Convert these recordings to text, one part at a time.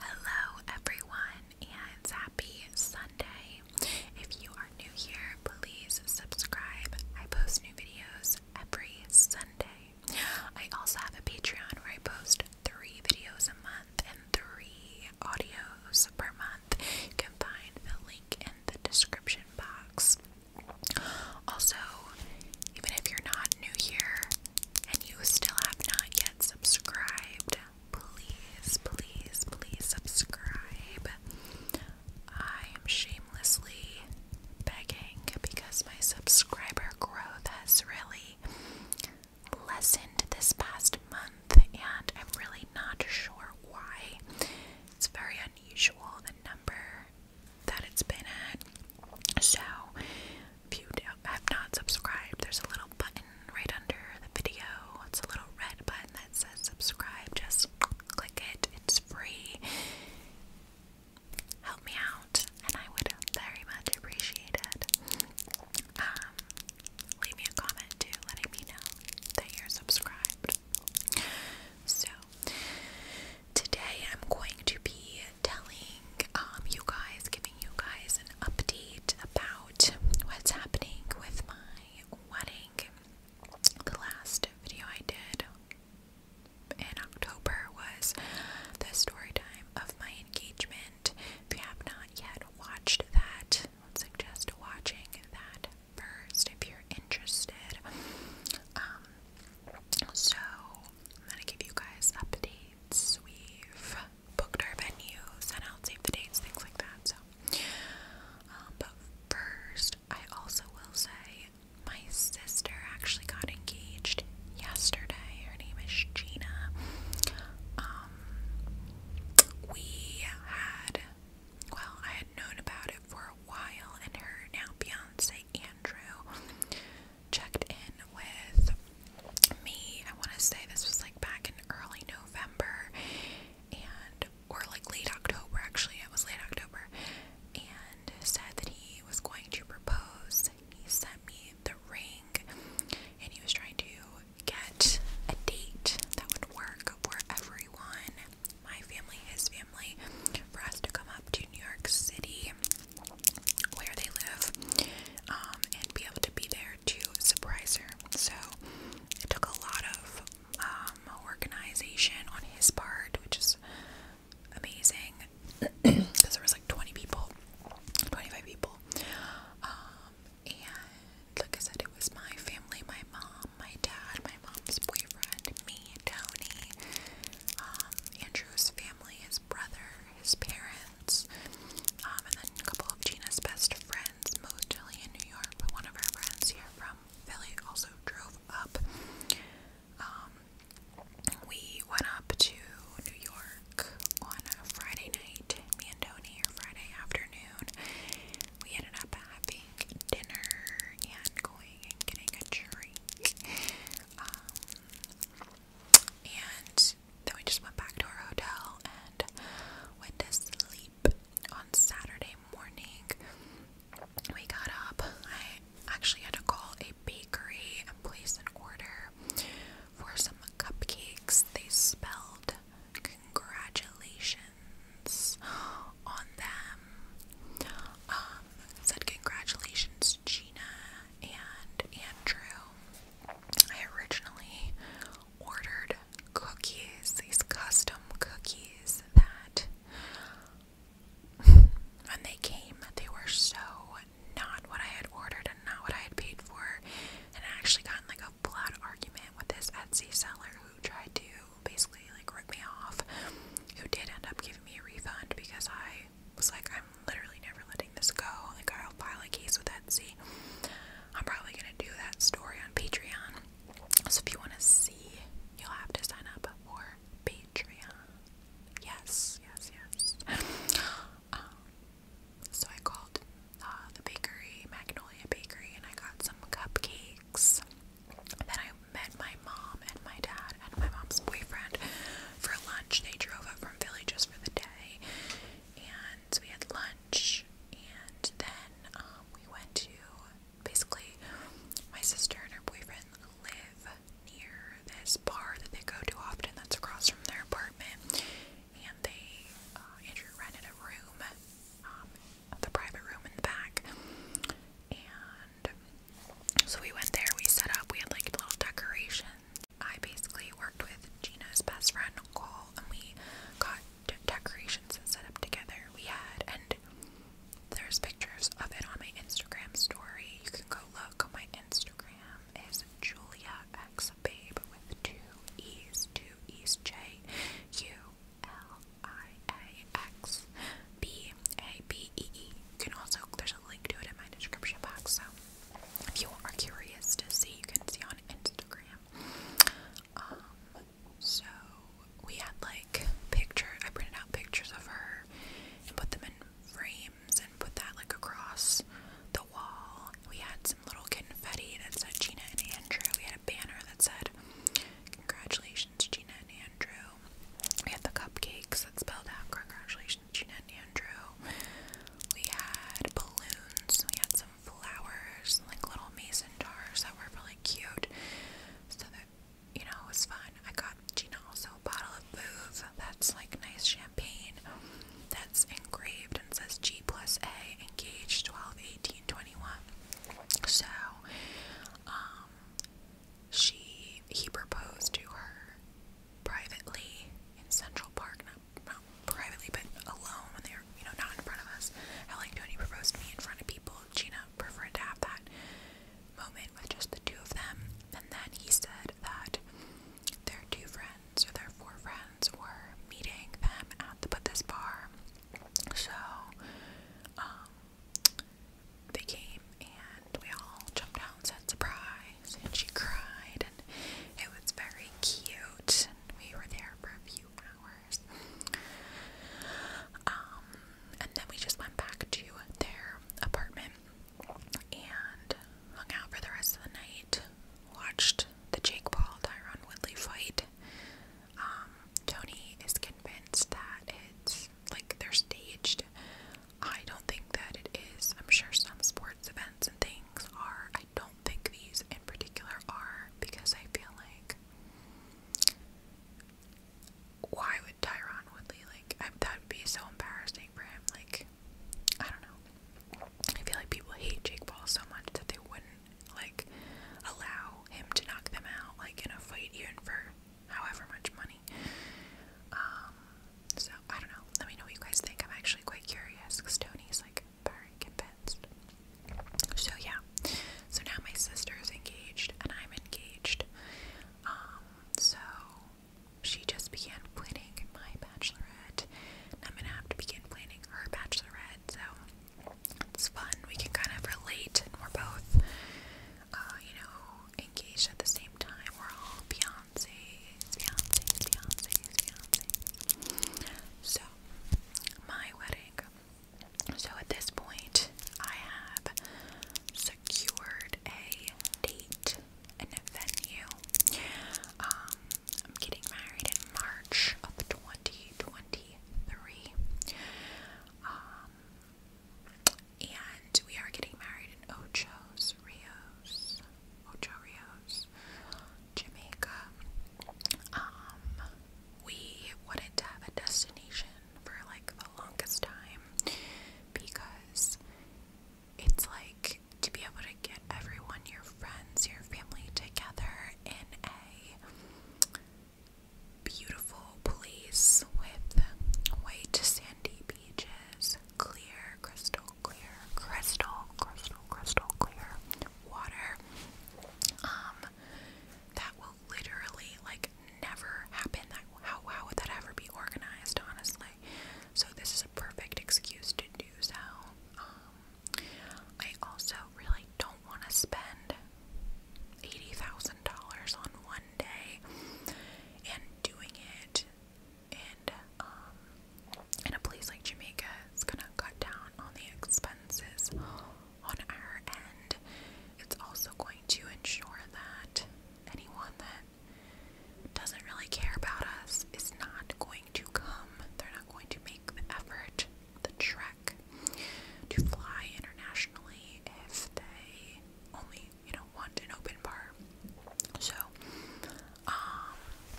Hello, everyone, and happy Sunday. If you are new here, please subscribe. I post new videos every Sunday. I also have a Patreon where I post three videos a month and three audios per month. You can find the link in the description box. Also, even if you're not new here, and you still have not yet subscribed, please, please, please subscribe. I am shamelessly begging because my subscriber growth has really lessened this past month, and I'm really not sure why. It's very unusual the number that it's been at. So, if you have not subscribed, there's a little button right under the video. It's a little red button that says subscribe. Just click it, it's free. Help me out, and I would very much appreciate it. Um, leave me a comment too, letting me know that you're subscribed. So, today I'm going to be telling um, you guys, giving you guys update about what's happening with my wedding. The last video I did in October was the story time of my engagement. If you have not yet watched that, I would suggest watching that first if you're interested. Um, so I'm gonna give you guys updates. We've booked our venue, sent out save the dates, things like that. So, um, but first, I also will say my sister actually got engaged yesterday. Her name is Gina. Um, we had, well, I had known about it for a while, and her now fiance Andrew checked in with me, I want to say this was like back in early November and or like late October actually, it was late October, and said that he was going to propose. He sent me the ring and he was trying to get a date that would work for everyone, my family, his family, for us to come up to New York City where they live um, and be able to be there to surprise her. So it took a lot of um, organization on his part, which is amazing because there was like 20 people, 25 people. Um, and like I said, it was my family, my mom, my dad, my mom's boyfriend, me, Tony, Andrew's family, his brother, his parents. Um, and then a couple of Gina's best friends, mostly in New York, but one of our friends here from Philly also drove up. Um, we went up to New York on a Friday night, me and Tony, or Friday afternoon. We ended up having dinner and going getting a drink. Um, and then we just went back to our hotel and went to sleep on Saturday morning. We got up. I actually had to call a bakery and place an order for some cupcakes. They spelled congratulations on them. Um, said congratulations, Gina and Andrew. I originally ordered cookies, these custom cookies that when they came, they were so not what I had ordered and not what I had paid for. And I actually got in like a blood argument with this Etsy seller who tried to basically like rip me off, who did end up giving me a refund because I was like, I'm literally never letting this go. Like, I'll file a case with Etsy. I'm probably gonna do that story on Patreon. So if you wanna see, you'll have to sign up for Patreon. Yes, yes, yes. Um, so I called uh, the bakery, Magnolia Bakery, and I got some cupcakes. Then I met my mom and my dad and my mom's boyfriend for lunch. They drove up from Philly just for the day, and so we had lunch lunch, and then um, we went to basically my sister and her boyfriend live near this bar that they go to often. That's across from their apartment, and they uh, Andrew rented a room, um, the private room in the back, and so we went there. We set up. We had like little decorations I basically worked with Gina's best friend Cole, and we got decorations and set up together. We had, and there's pictures of it on my Instagram story. You can go look. My Instagram is Julia X Babe with two E's, two E's, J U L I A X B A B E E. You can also there's a link to it in my description box. So if you are curious to see, you can see on Instagram. Um, so we had like picture. I printed out pictures of her and put them in frames and put that like across the wall. We had some little confetti that said Gina and Andrew. We had a banner that said "Congratulations, Gina and Andrew." We had the cupcakes that spelled out "Congratulations, Gina and Andrew." We had balloons. We had some flowers and like little mason jars that were really cute. So that you know it was fun. I got Gina also a bottle of booze that's like nice champagne that's engraved and says G plus A engaged 12 18 21. So um she he proposed to her privately in Central Park, now well, privately, but alone when they're, you know, not in front of us. How like Tony proposed to me in front of people. Gina preferred to have that moment with just the two of them. And then he said that their two friends or their four friends were meeting them at the but this bar. So um they came and we all jumped out and said surprise and she cried and it was very cute. And we were there for a few hours. Um, and then we just went back to their apartment and hung out for the rest of the night. Watched the Jake Paul Tyron Woodley fight. Um, Tony is convinced that it's like they're staged. I don't think that it is. I'm sure some sport events and things are. I don't think these in particular are because I feel like why would Tyron Woodley like that would be so embarrassing for him. Like I don't know. I feel like people hate Jake Paul so much that they wouldn't like allow him to knock them out like in a fight even for however much money. Um, so I don't know. Let me know what you guys think. I'm actually quite curious because Tony's like very convinced. So yeah. So now my sister is engaged and I'm engaged. Um, so she just began planning my bachelorette. And I'm gonna have to begin planning her bachelorette. So it's fun. We can kind of relate and we're both uh, you know, engaged at the same time. We're all fiancés, fiancés, fiancés, fiancés. So my wedding. So at this point, I have secured a date and a venue. Um, I'm getting married in March of 2023. Um, and we are getting married in Ocho's Rios. Ocho Rios. Jamaica, um, we wanted to have a destination for like the longest time because it's like to be able to get everyone, your friends, your family together in a beautiful place with white sandy beaches, clear crystal clear, crystal, crystal, crystal clear water. Um, that will literally like never happen. That how how would that ever be organized, honestly? So this is a perfect excuse to do so. Um, I also really don't want to spend eighty thousand dollars on one day and doing it and um in a place like Jamaica is gonna cut down on the expenses on our end. It's also going to ensure that anyone that doesn't really care about us is not going to come. They're not going to make the effort, the trek to fly internationally if they only, you know, want an open bar. So, um,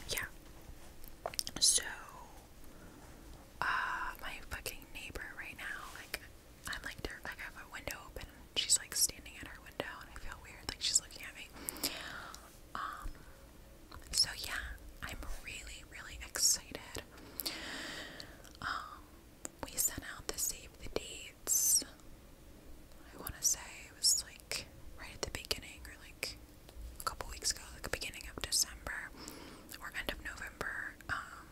yeah. So uh, my fucking neighbor right now. Like, I'm like, there, like, I have a window open. she's like standing at her window, and I feel weird. Like, she's looking at me. Um, so yeah, I'm really, really excited. Um, we sent out the save the dates. I want to say it was like right at the beginning or like a couple weeks ago, like beginning of December or end of November, um,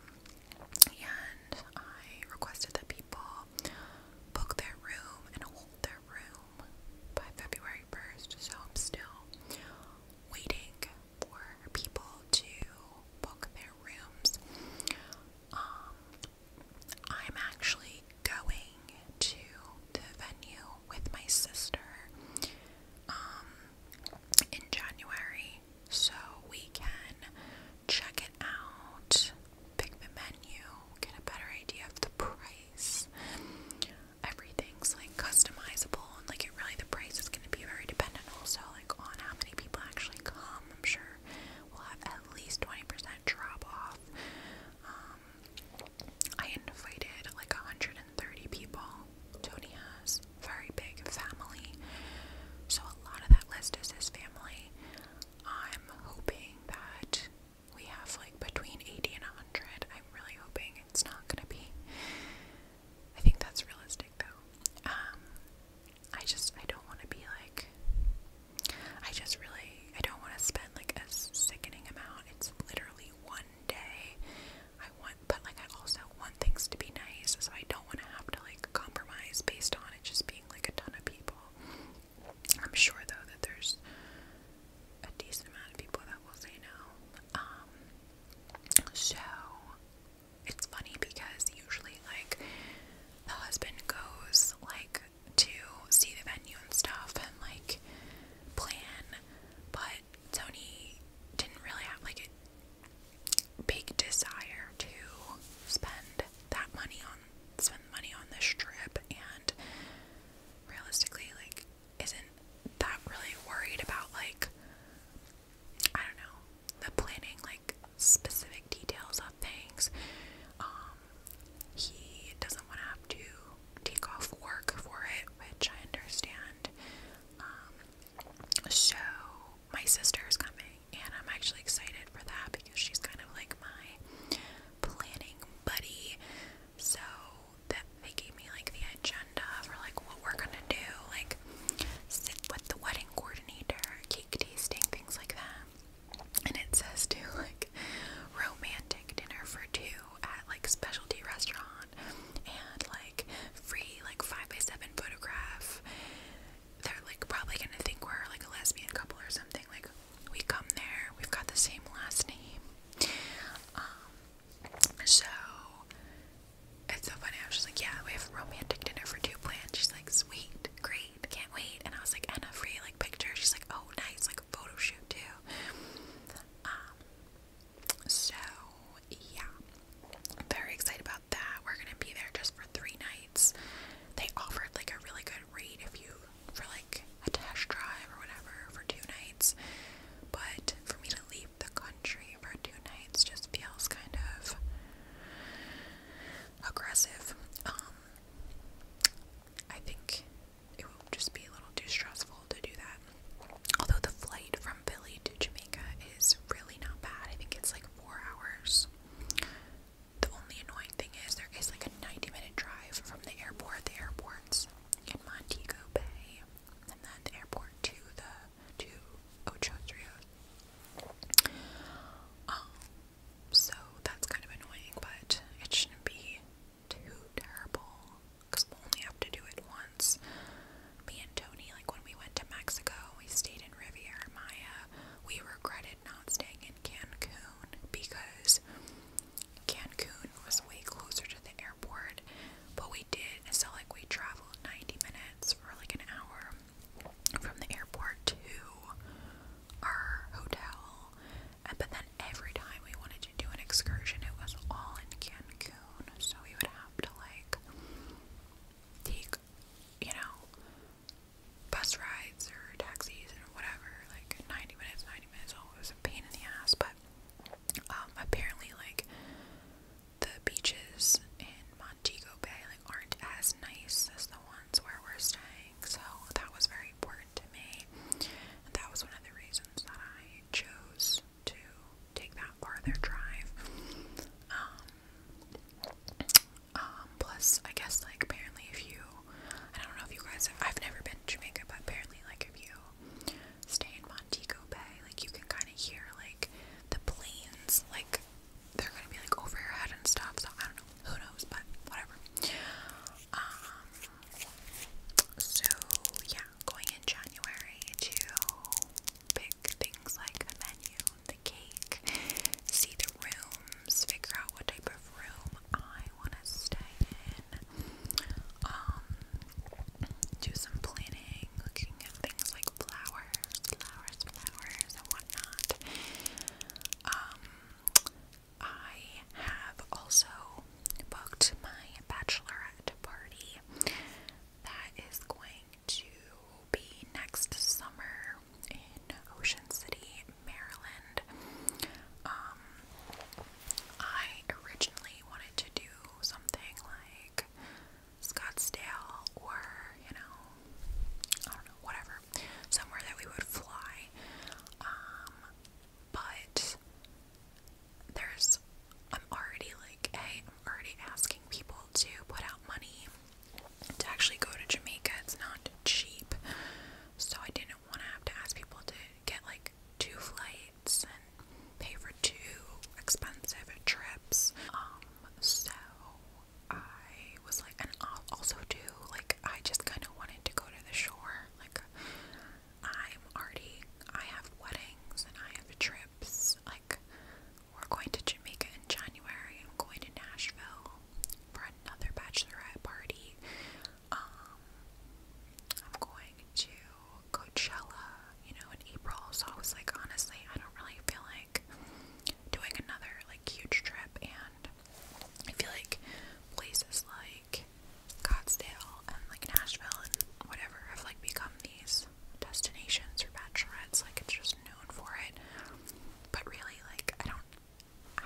and I requested that people book their room and hold their room by February 1st. So I'm still waiting for people to book their rooms. Um, I'm actually going to the venue with my sister um, in January, so we can check it out, pick the menu, get a better idea of the price. Everything's like customizable, and like it really, the price is going to be very dependent also like on how many people actually come. I'm sure we'll have at least 20% drop off. Um, I invited like 130 people. Tony has very big family. So a lot of that list is his family. I'm hoping that we have like between 80 and 100. I'm really hoping it's not going to be I think that's realistic though. Um, I just I don't want to be like I just really I don't want to spend like a sickening amount. It's literally one day I want, but like I also want things to be nice, so I don't want to have to like compromise based on it just being like a ton of people. I'm sure though that there's a decent amount of people that will say no. Um, so it's funny because usually like the husband goes like to see the venue and stuff and like plan, but but Sony didn't really have like a big desire to spend that money on spend money on this trip and realistically like isn't that really worried about like I don't know the planning like specific details of things um he doesn't want to have to take off work for it, which I understand. Um, so my sister is coming, and I'm actually excited for that because she's kind of like my planning buddy. So that they gave me like the agenda for like what we're gonna do, like sit with the wedding coordinator, cake tasting, things like that. And it says to like romantic dinner for two at like specialty restaurant and like free like five by seven photograph. They're like probably gonna think we're like a lesbian couple or something. Like we come there, we've got the same last name. Um so it's so funny, I was just like, Yeah, we have a romantic dinner for two planned. She's like, Sweet, great, can't wait and I was like, Anna free like picture. She's like, Oh nice, like a photo shoot too. Um, so, yeah, very excited about that. We're gonna be there just for three nights. They offered like a really good rate if you for like a test drive or whatever for two nights, but for me to leave the country for two nights just feels kind of aggressive. Um, I think it would just be a little too stressful to do that. Although the flight from Philly to Jamaica is really not bad. I think it's like four hours. The only annoying thing is there is like a 90 minute drive from the airport. The airport's in Montego Bay and then the airport to the to Ocho Rios. Um, so that's kind of annoying, but it shouldn't be too terrible because we only have to do it once. Me and Tony, like when we went to Mexico, we stayed in Riviera Maya. We regretted not staying in Cancun because Cancun was way closer to the airport, but we did. So, like, we traveled 90 minutes or like an hour from the airport to our hotel. but then every time we wanted to do an excursion, it was all in Cancun soon, so we would have to like take, you know, bus rides or taxis or whatever, like 90 minutes, 90 minutes. Oh, it was a pain in the ass, but um, apparently, like, the beaches in Montego Bay, like, aren't as nice as the ones where we're staying, so that was very important to me, and that was one of the reasons that I chose to take that farther drive. Um, um, plus, I guess, like, apparently, if you, I don't know if you guys I've never been to Jamaica, but apparently, like, if you stay in Montego Bay, like, you can kind of hear, like, the planes, like, they're gonna be, like, over your head and stuff, so I don't know, who knows, but whatever. Um, so, yeah, going in January to pick things like the menu, the cake, see the rooms, figure out what type of room I want to stay in, um, do some planning, looking at things like flowers, flowers, flowers, and whatnot. Um, I have also booked my bachelorette party that is going to be next summer in Ocean City, Maryland. Um, I originally wanted to do something like Scottsdale or, you know, I don't know, whatever, somewhere that we would fly. Um, but there's I'm already like, hey, I'm already asking people to put out money to actually go to Jamaica. It's not cheap. So I didn't want to have to ask people to get like two flights and pay for two expensive trips. Um, so I was like, and I'll also do like, I just kind of wanted to go to the shore. Like, I'm already, I have weddings and I have trips. Like, we're going to Jamaica in January. I'm going to Nashville for another bachelorette party. Um, I'm going to Coachella, you know, in April. So I was like, honestly, I don't really feel like doing another like huge trip. And I feel like places like Scottsdale and like Nashville and whatever have like become these destinations for bachelorettes. Like it's just known for it. But really, like I don't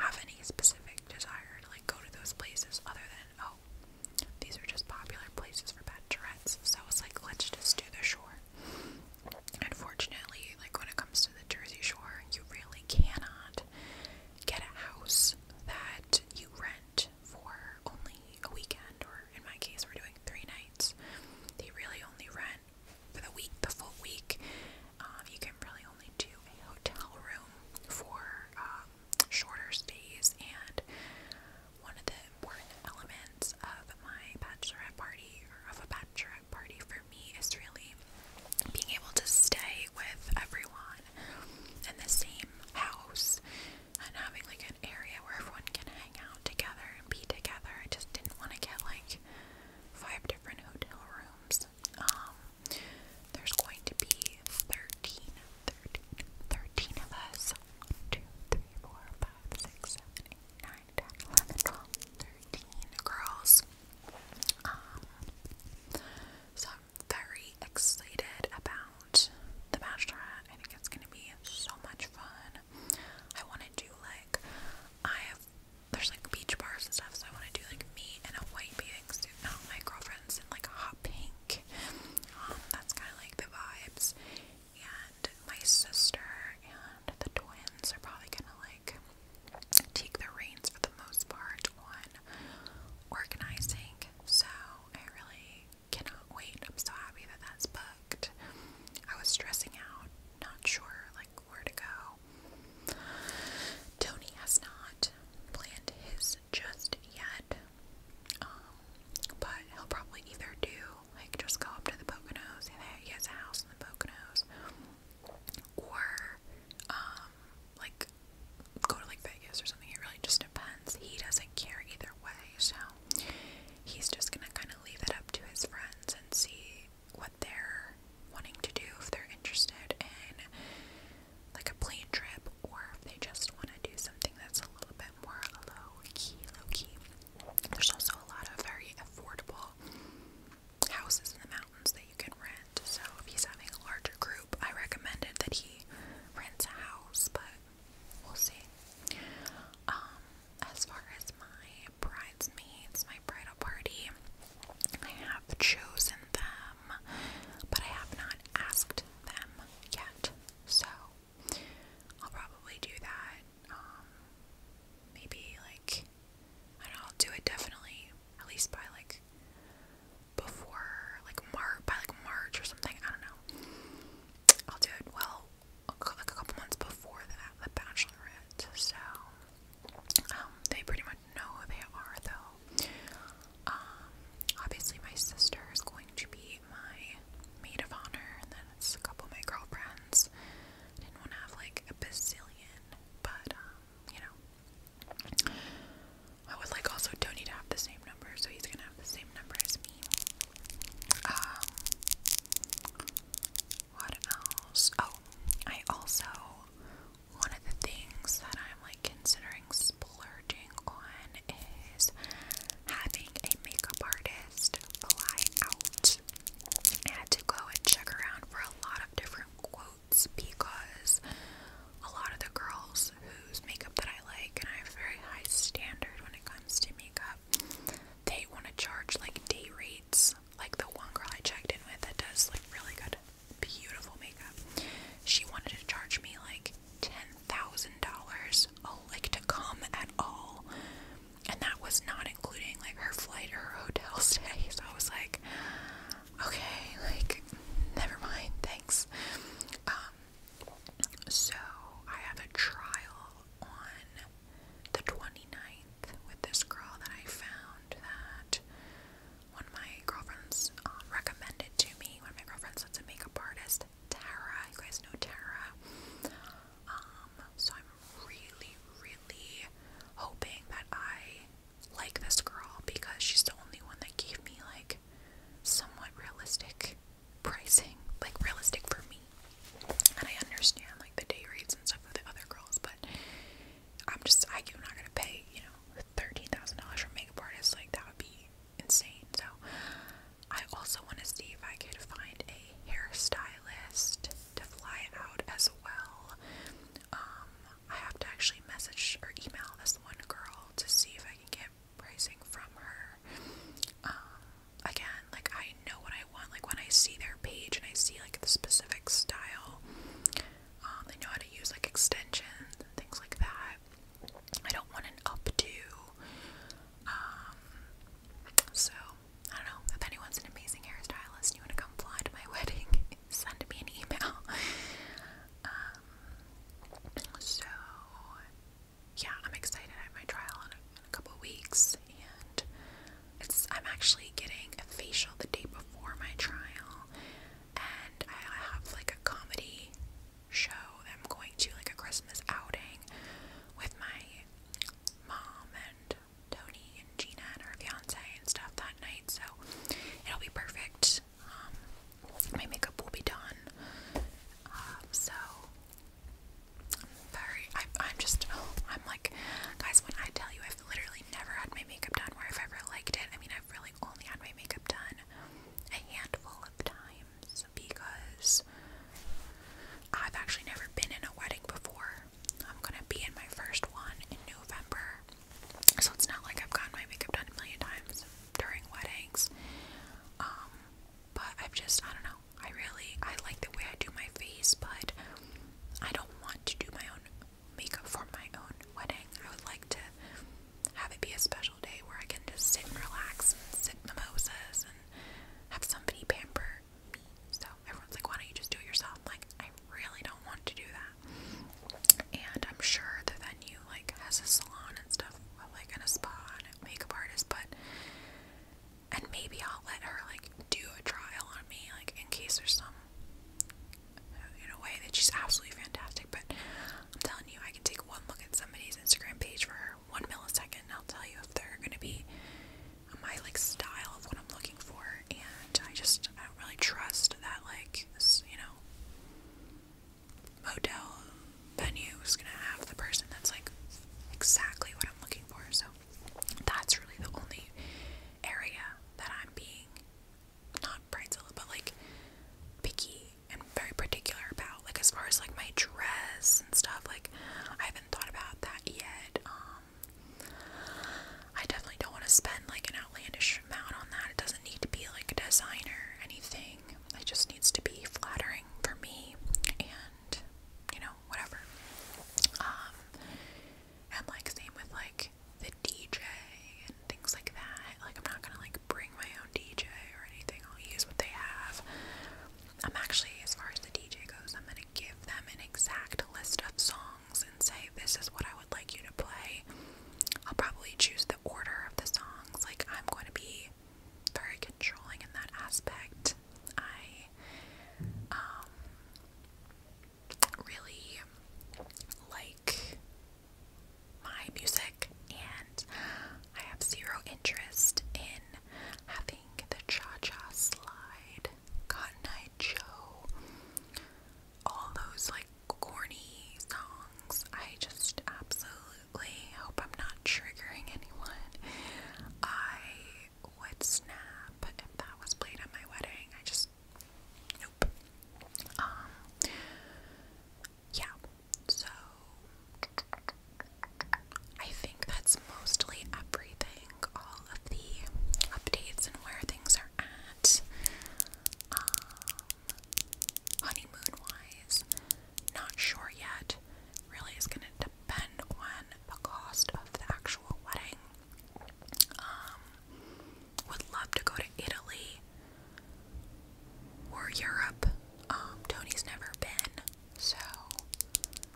have any specific desire to like go to those places other than oh, these are just popular places for bachelorettes. So it's like let's just do the shore. Unfortunately, like when it comes to the Jersey Shore, you really cannot get a house that you rent for only a weekend, or in my case, we're doing three nights. They really only rent for the week, the full week. Um, you can really only do a hotel room for um, shorter stays. And one of the important elements of my bachelorette party, or of a bachelorette party for me, is really being able to stay with everyone in the same house and having like an area where everyone can hang out together and be together. I just didn't want to get like five different hotel rooms. Um, there's going to be 13, of us. 1, girls. Um, so I'm very excited about the Bachelorette. I think it's gonna be so much fun. I wanna do like I have there's like beach bars and stuff, so I wanna do like me in a white bathing suit. Not my girlfriend's in like a hot pink. Um, that's kinda like the vibes. And my sister and the twins are probably gonna like take the reins for the most part on organizing. So I really cannot wait. I'm so happy that that's booked. I was stressing out, not sure like where to go. Tony has not planned his just yet, um, but he'll probably either do like just go up to the Poconos. He has a house in the Poconos, or um, like go to like Vegas or something. It really just depends. He doesn't care either way, so He's just gonna kind of leave it up to his friends and see what they're wanting to do, if they're interested in like a plane trip, or if they just want to do something that's a little bit more low key, low key. There's also a lot of very affordable houses in the mountains that you can rent. So if he's having a larger group, I recommended that he rents a house, but We'll see. Um, as far as my bridesmaids, my bridal party, I have chosen them, but I have not asked them yet. So I'll probably do that. Um, maybe like I don't know, I'll do it definitely at least by like before like Mar by like March or something. I don't know. I'll do it well like a couple months before that, the Bachelorette. So um, they pretty much know who they are, though. Um, obviously, my sister is going to be my maid of honor, and then it's a couple of my girlfriends. didn't want to have like a bazillion, but um, you know, I would like also Tony to have the same number, so he's gonna have the same number as me. Um, what else? Oh, I also one of the things that I'm like considering splurging on is having a makeup artist fly out. I had to go and check around for a lot of different quotes because a lot of the girls girls whose makeup that I like, and I have a very high standard when it comes to makeup, they want to charge like day rates. Like the one girl I checked in with that does like really good, beautiful makeup, she wanted to charge me like ten thousand dollars, oh, like to come at all, and that was not including like her flight or her hotel stay. So I was like, okay, like never mind, thanks. Um, so I have a trial on the 29th with this girl that I found that one of my girlfriends um, recommended to me. One of my girlfriends that's a makeup artist, Tara. You guys know Tara. Um, so I'm really, really hoping that I like this girl because she's the only one that gave me like somewhat realistic pricing, like realistic for me. And I understand like the day rates and stuff for the other girls, but I'm just I, am not gonna pay you know thirteen thousand dollars for makeup artist Like that would be insane. So I also want to see if I could find a hairstylist to fly out as well. Um, I have to actually message or email this one girl to see if I can get pricing from her. Um, again, like I know what I want. Like when I see their page and I see like the specific style, um, they know how to use like extensions and things like that. I don't want an updo. Um, so I don't know if anyone's an amazing hairstylist and you want to come fly to my wedding, send me an email. Um, so yeah, I'm excited. I have my trial in a, couple weeks, and it's I'm actually getting a facial the day before my trial, and I have like a comedy show I'm going to, like a Christmas outing with my mom and Tony and Gina and her fiance and stuff that night. So it'll be perfect. Um, my makeup will be done. Um, so very I, I'm just I'm like guys when I tell you I've literally never had my makeup done where I've ever liked it I mean I've really only had my makeup done a handful of times because I've actually never been in a wedding before I'm gonna be in my first one in November so it's not like I've gotten my makeup done a million times during weddings um, but I've just, I don't know. I really, I like the way I do my face, but I don't want to do my own makeup for my own wedding. I would like to have it be a special day where I can just sit and relax and sip mimosas and have somebody pamper So everyone's like, why don't you just do it yourself? like, I really don't want to do that. And I'm sure the venue like has a salon and stuff like in a spa and a makeup artist, but and maybe I'll let her like do a trial on me, like in case there's some uh, in a way that she's absolutely fantastic. But I'm telling you, I can take one look at somebody's Instagram page for one millisecond, and I'll tell you if they're gonna be my like style of what I'm looking for. And I just I don't really trust that like this, you know motel venue is gonna have the person that's like exactly what I'm looking for. So that's really the only area that I'm being not bridezilla, but like picky and very particular about. Like as far as like my dress and stuff, like I haven't thought about that yet. Um, I definitely don't want to spend like an outlandish amount on that. It doesn't need to be like a designer or anything. It just needs to be flattering for me and, you know, whatever. Um, and like, same with like the DJ and things like that. Like, I'm not gonna like bring my own DJ or anything, I'll use what they have. I'm actually, as far as the DJ goes, I'm gonna give them an exact list of songs and say, This is what I would like you to play. I'll probably choose the order of the songs. Like, I'm going to be very controlling in that aspect. I um, really like my music, and I have zero interest in having the cha cha slide, Cotton Eye Joe, all those like corny songs. I just absolutely absolutely hope I'm not triggering anyone. I would snap if that was played at my wedding. I just nope. Um yeah. So I think that's mostly everything, all of the updates and where things are at. Um honeymoon wise. Not sure yet. Really is going to depend on the cost of the actual wedding. Um, would love to go to Italy or Europe. Um, Tony's never been, so,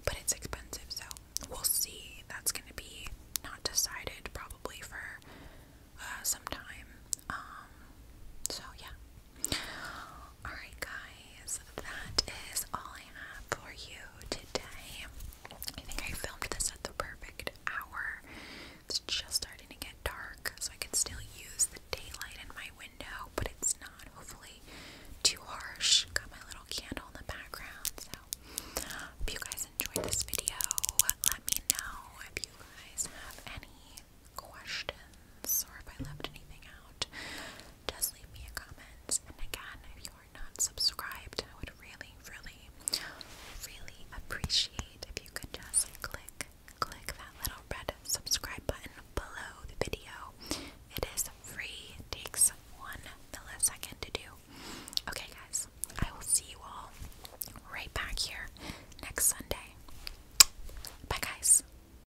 but it's expensive, so we'll see. That's going to be not decided probably for uh, some time. Um, so yeah, Alright, guys, that is all I have for you today. I think I filmed this at the perfect hour. It's just starting to get dark, so I can still use the daylight in my window, but it's not hopefully too harsh. Got my little candle in the background, so if you guys enjoyed this video, let me know if you guys have any questions or if I left anything out, just leave me a comment. And again, if you are not subscribed, I would really, really, really appreciate if you could just click, click that little red subscribe button below the video. It is free, it takes one millisecond to do. Okay, guys, I will see you all right back here next Sunday. Bye, guys.